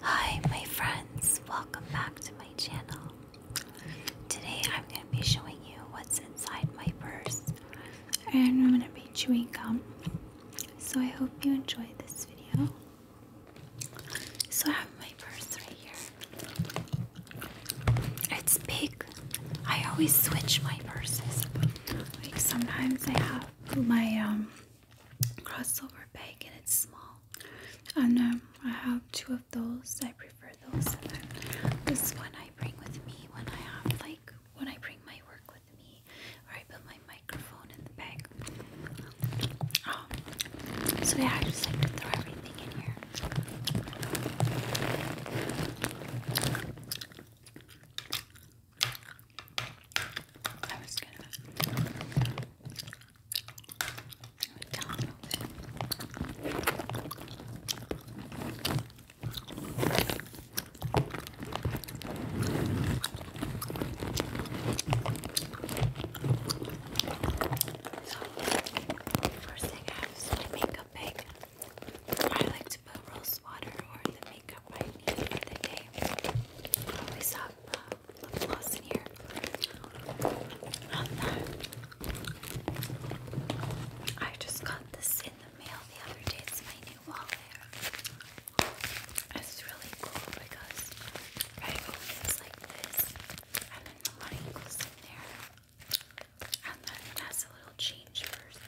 Hi my friends, welcome back to my channel. Today I'm going to be showing you what's inside my purse and I'm going to be chewing gum. So I hope you enjoy this video. So I have my purse right here. It's big. I always switch my purses. sometimes I have my um crossover bag and it's small. And I have two of those. I prefer those. And then this one I bring with me when I have like when I bring my work with me, or I put my microphone in the bag. Um, so yeah, I just like to throw everything in here. I was gonna So, first thing I have is the makeup bag. I like to put rose water or the makeup I for the day. We saw have uh, gloss in here. Not that. I just got this in the mail the other day. It's my new wallet. It's really cool because I open this like this, and then the money goes in there, and then it has a little change first.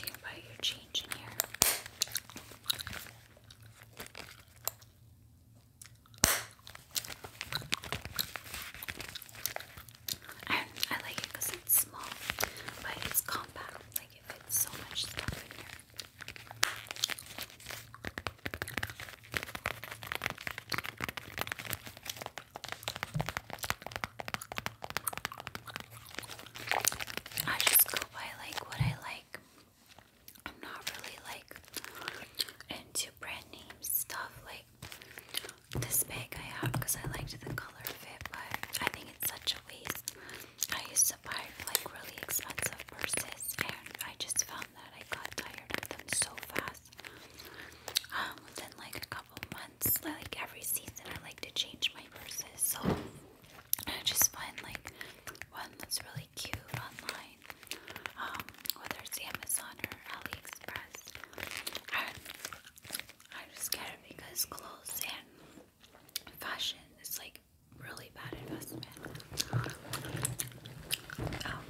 you can your change in here. I, I like it because it's small, but it's compact. Like it fits so much stuff in here. I just go by like what I like. I'm not really like into brand name stuff like this bag I have because I liked the color of but I think it's such a waste. I used to buy like really expensive purses, and I just found that I got tired of them so fast. Um, within like a couple months, like every season, I like to change my purses. So I just find like one that's really cute online, um, whether it's Amazon or AliExpress. I'm just scared it because clothes and fashion is like really bad investment. Because um,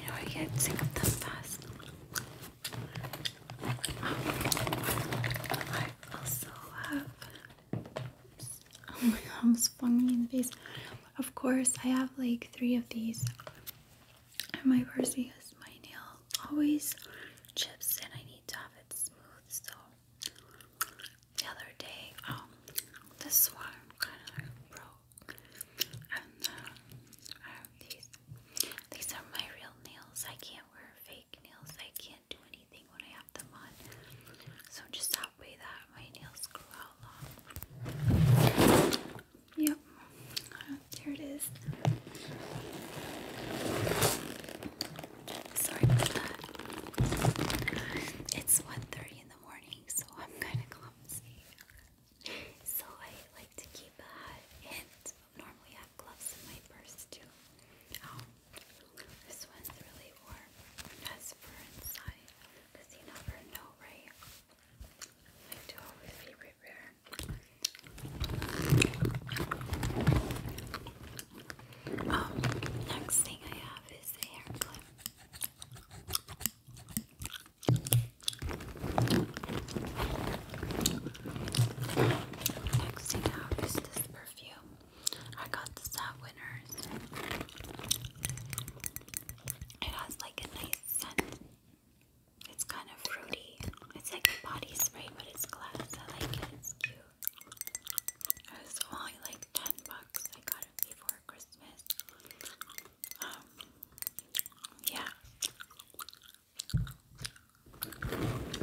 you know I get sick of them fast. Um, I also have Oh my god, almost flung me in the face. Of course, I have like three of these in my purse because my nail always chips and I need to have it smooth. So the other day, um, this one kind of broke, and uh, I have these. These are my real nails. I can't wear fake nails. I can't do anything when I have them on. So just that way that my nails grow out long. Yep, there it is. Sorry about that. It's 1.30 in the morning, so I'm kind of clumsy. So I like to keep a hat normally I have my purse too. Um, this one's really warm. That's for inside. Because you never right? I do always be prepared. Um, next thing I have is a Next thing I have is this perfume. I got the at Winners. It has like a nice scent. It's kind of fruity. It's like a body spray, but it's glass. I like it. It's cute. It was only like ten bucks. I got it before Christmas. Um, yeah.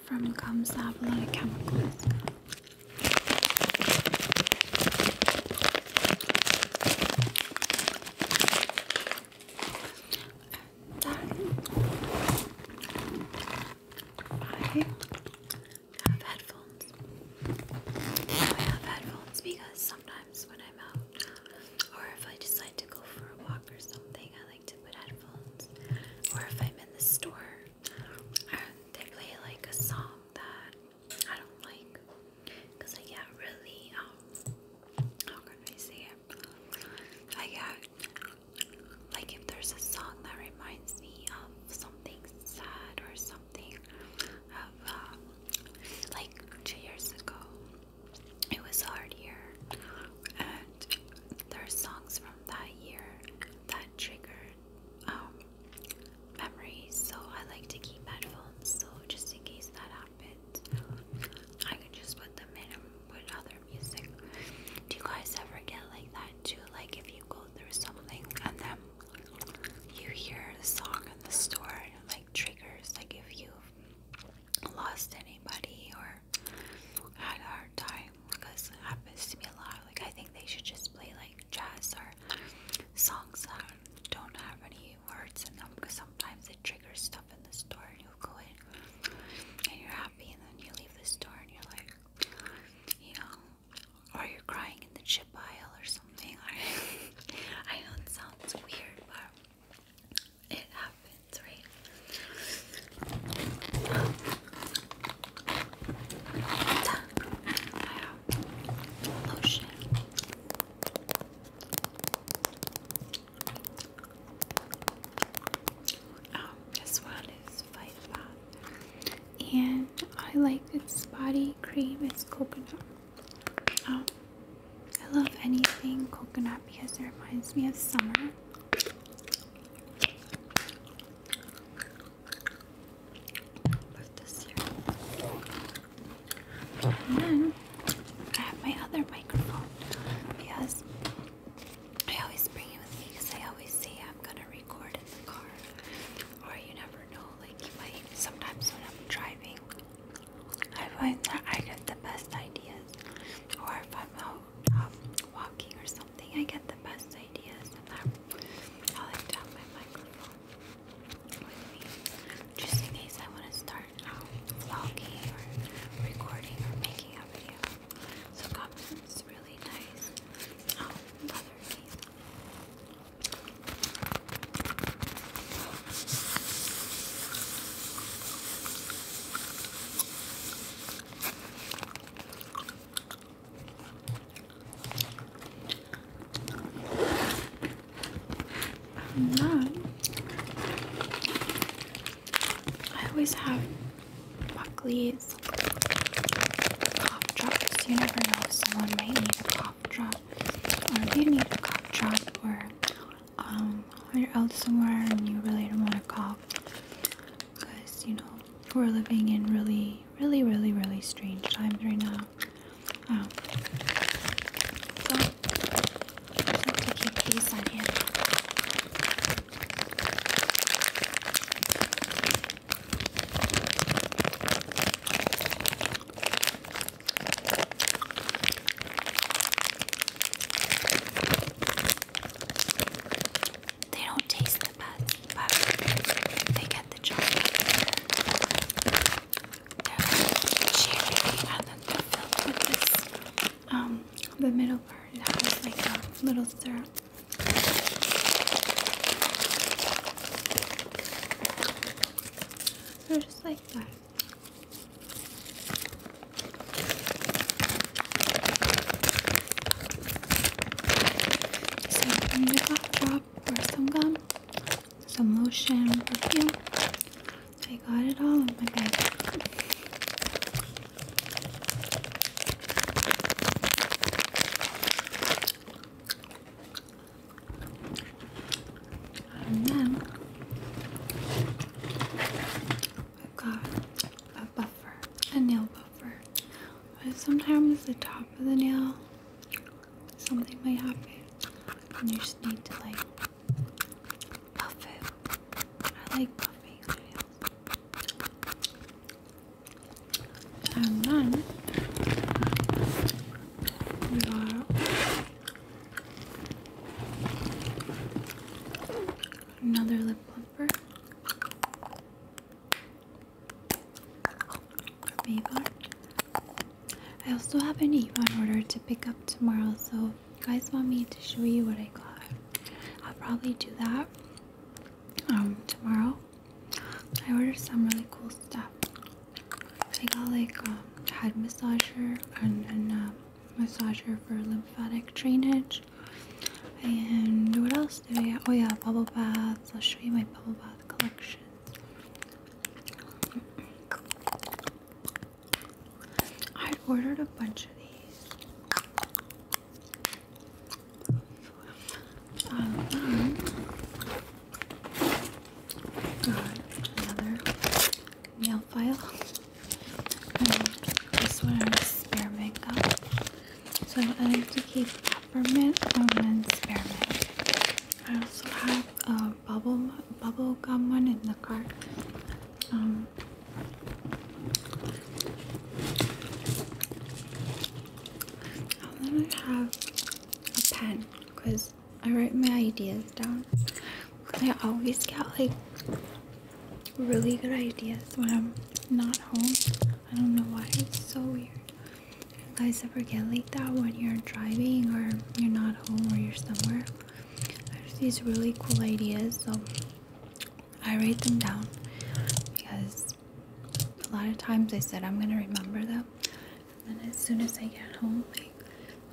from gums that have of chemicals. Then I have headphones. I have headphones because sometimes when I'm out or if I decide to go for a walk or something, like to put headphones, or if I'm in the store uh, they play like a song that I don't like, because I get really um, how can I say it? I get like if there's a song that reminds me of something sad or something of uh, like two years ago. It was hard here, there are songs from that year that trigger um, memories, so I like to keep headphones so just in case that happens, I can just put them in and put other music. Do you guys ever get like that too? Like if you go through something and then you hear the song in the store like triggers, like if you've lost anybody or her. I had a hard time because it happens to me a lot. Like I think they should just play like jazz or songs that don't have any words in them because sometimes it triggers stuff in the store and you go in and you're happy and then you leave the store and you're like you know or you're crying in the chip aisle or something. I know it sounds weird but it happens hands, right? Lotion. Um, this one is Fight Bath, and I like this body cream. It's coconut. Um, I love anything coconut because it reminds me of summer. And then I have my other microphone because I always bring it with me because I always say I'm gonna record in the car. Or you never know, like you might sometimes when I'm driving I find that I get the best ideas. Or if I'm out um, walking or something, I get the best ideas, I, like to have my microphone with me, just in case I want to start um, vlogging or recording or making a video. So confidence is really nice. another um, piece. And I always have Buckley's cough drops. You never know if someone might need a cough drop, or if you need a cough drop, or um, you're out somewhere and you really don't want to cough because you know we're living in really, really, really, really strange times right now. Um, so I like to keep these on hand. They don't taste the best, they get the chocolate. Um, the middle part has like a little syrup. They're just like that. So bring the cough drop or some gum, some lotion, perfume. I got it all in my bag. And then I've got a buffer, a nail buffer. sometimes the top of the nail, something might happen. And you just need to like buff it. I like puffing nails. And then we got Another lip plumper. Maybar. I also have an Avon order to pick up tomorrow, so you guys want me to show you what I got. I'll probably do that um tomorrow. I ordered some really cool stuff. I got like a um, head massager and, and um, massager for lymphatic drainage. And what else do we have? Oh yeah, bubble baths. I'll show you my bubble bath collection. I ordered a bunch of these. um, got another nail file. And one is spearmint gum. So I like to keep peppermint and then spearmint. I also have a bubble bubble gum one in the cart. Um, I'm have a pen because I write my ideas down. I always get like really good ideas when I'm not home. I don't know why, it's so weird. You guys ever get like that when you're driving or you're not home or you're somewhere? There's these really cool ideas, so I write them down because a lot of times I said I'm gonna remember them. And then as soon as I get home, like,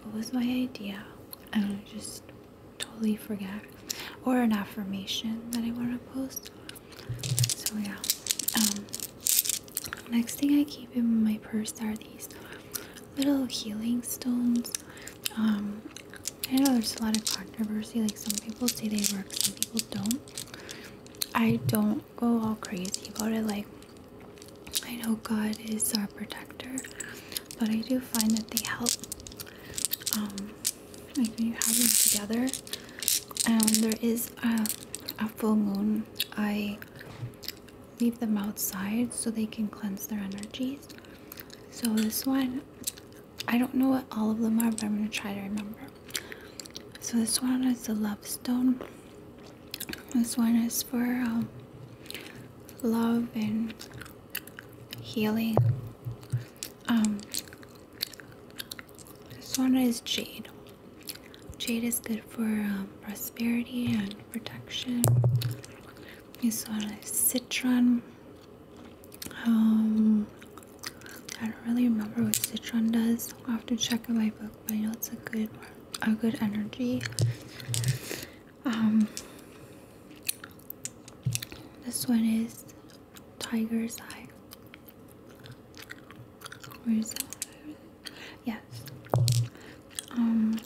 what was my idea? I And I just totally forget or an affirmation that I want to post so yeah um, next thing I keep in my purse are these little healing stones um, I know there's a lot of controversy like some people say they work some people don't I don't go all crazy about it like I know God is our protector but I do find that they help um, like when you have them together and there is a, full moon i leave them outside so they can cleanse their energies so this one i don't know what all of them are but i'm going to try to remember so this one is the love stone this one is for um, love and healing um, this one is jade. Jade is good for um, prosperity and protection. This one is citron. Um, I don't really remember what citron does. i have to check in my book, but I know it's a good, a good energy. Um, this one is Tiger's Eye. Yes. Um,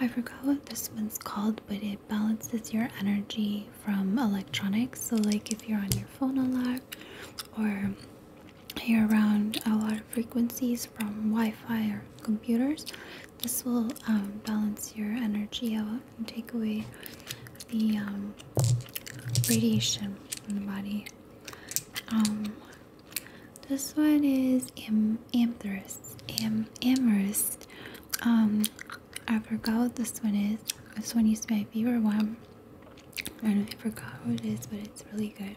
I forgot what this one's called, but it balances your energy from electronics. So, like if you're on your phone a lot or you're around a lot of frequencies from Wi Fi or computers, this will um, balance your energy out and take away the um, radiation from the body. Um, this one is am amethyst, am amethyst. I forgot what this one is. This one used to be my favorite one, and I forgot what it is, but it's really good.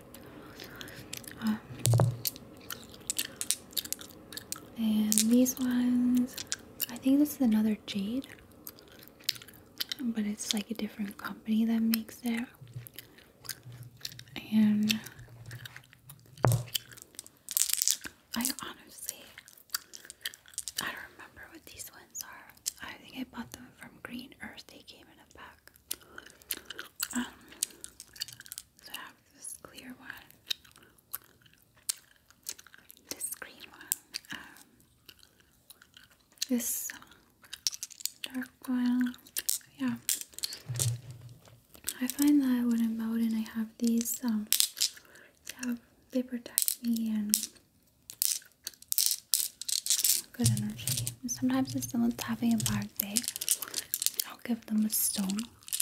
And these ones, I think this is another jade, but it's like a different company that makes it. And I honestly, I don't remember what these ones are. I think I bought them from Green Earth. They came in a pack. Um, so I have this clear one. This green one, um, this dark one, yeah. I find that when I'm out and I have these, yeah, um, they protect me and good energy. sometimes if someone's having a bad day, I'll give them a stone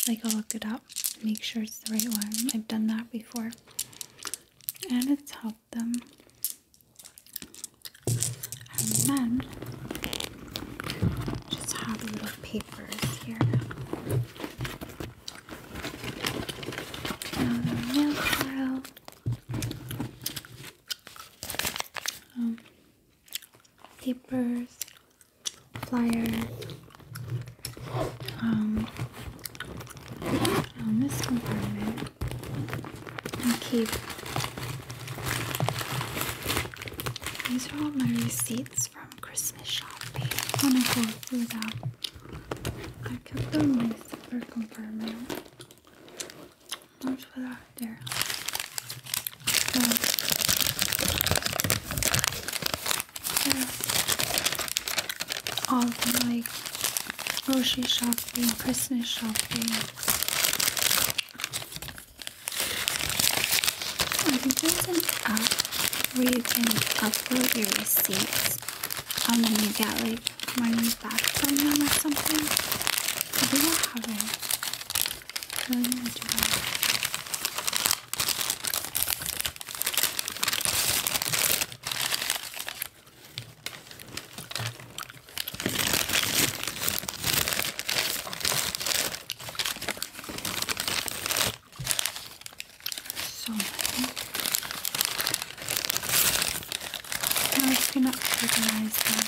like I'll look it up, make sure it's the right one. I've done that before, and it's helped them. And then just have little um, papers here. Another nail papers, flyer. Um, on this compartment, I keep these are all my receipts from Christmas shopping. When I go through that, I kept them in my zipper compartment. Let's there. So, all the like grocery shopping, Christmas shopping. I think there's an app where you can upload your receipts and then you get like money back from them or something. I think I have it. Tell you what you have. So many. Now I'm just gonna organize them.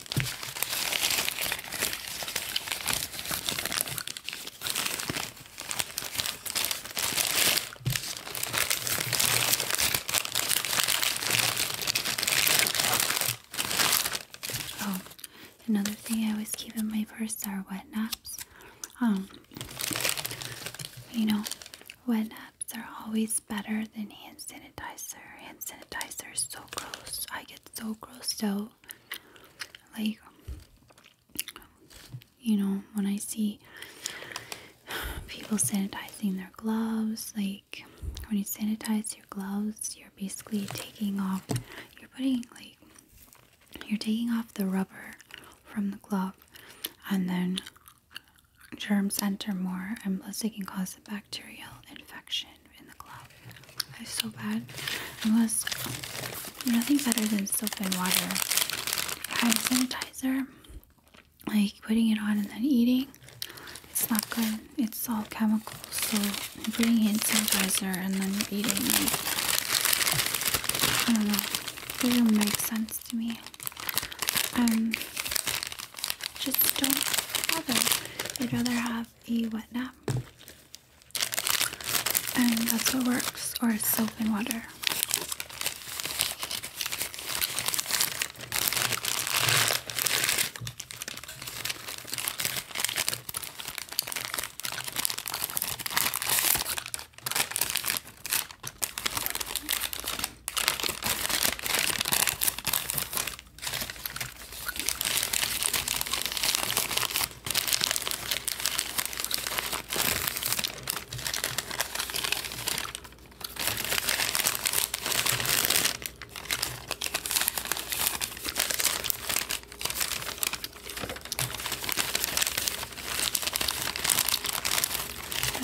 Oh, another thing I always keep in my purse are wet naps. Um, you know, wet naps are always better than hand sanitizer. Hand sanitizer is so gross. I get so grossed out like you know when i see people sanitizing their gloves like when you sanitize your gloves you're basically taking off you're putting like you're taking off the rubber from the glove and then germs enter more and plus it can cause back bacterial infection in the glove. It's so bad. It was nothing better than soap and water. Hand sanitizer, like putting it on and then eating, it's not good. It's all chemicals. So putting hand sanitizer and then eating, like, I don't know. It doesn't make sense to me. Um, just don't bother. I'd rather have have wet nap. And that's what works, or soap and water.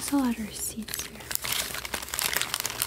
There's a lot of receipts here.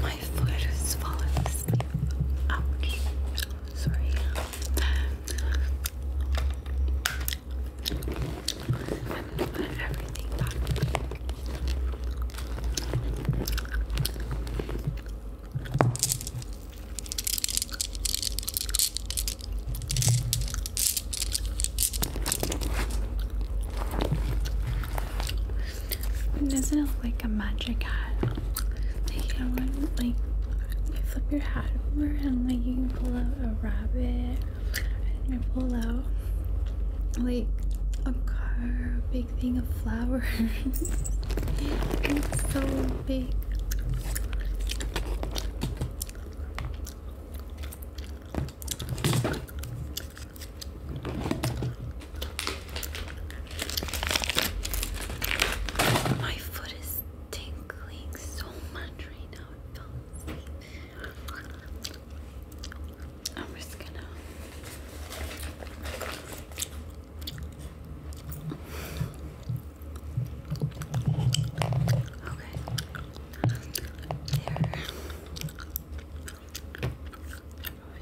My foot is falling Sorry. I'm gonna put everything back. Doesn't it look like a magic hat? Like you flip your hat over and like you pull out a rabbit and you pull out like a car, a big thing of flowers. it's so big. My foot is tingling so much right now. I'm just gonna. Okay. There.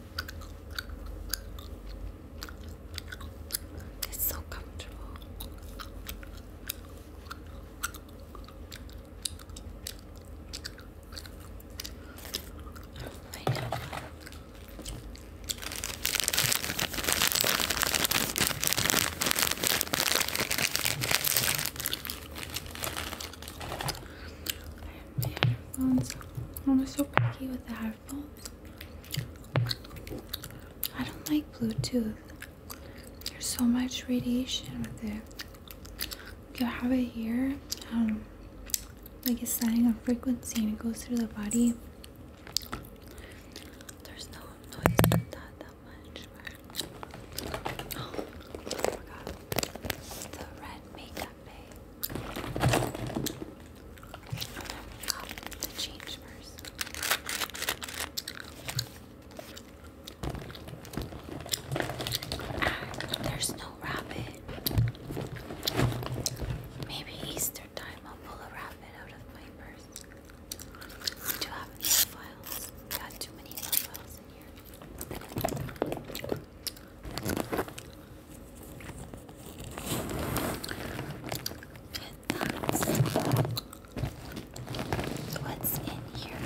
It's so comfortable. I know. I am so picky with the I don't like Bluetooth. There's so much radiation with it. You have it here, um, like it's setting a frequency and it goes through the body. There's no noise that much. Oh, my god. The red makeup bag the change first. there's no rabbit. Maybe Easter time I'll pull a rabbit out of my purse. I have Got too many profiles in here. What's in here?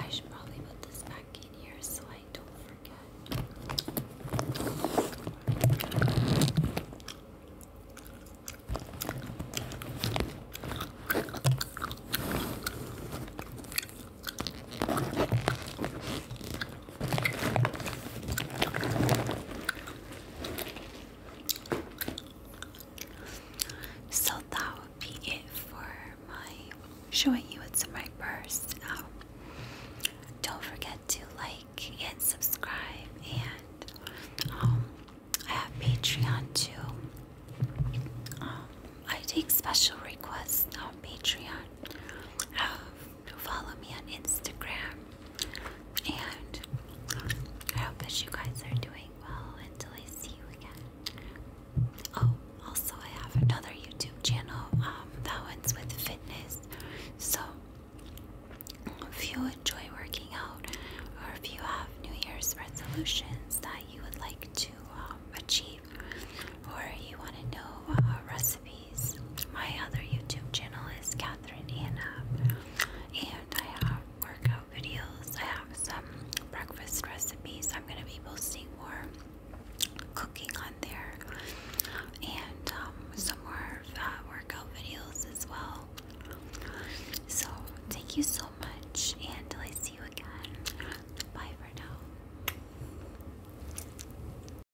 I should probably put this back in here so I don't forget. So that would be it for my showing you what's in my purse. Now, don't forget to like and subscribe, and um, I have Patreon too. Um, I take special requests on Patreon follow me on Instagram. And um, I hope that you guys are doing well until I see you again. Oh, also, I have another YouTube channel. Um, that one's with fitness. So, if you enjoy working out, or if you have New Year's resolutions that you would like to um, achieve, or you want to know uh, recipes, my other YouTube channel is Catherine Anna, and I have workout videos. I have some breakfast recipes. I'm going to be posting more cooking on there, and um, some more uh, workout videos as well. So, thank you so much, and I see you again, bye for now.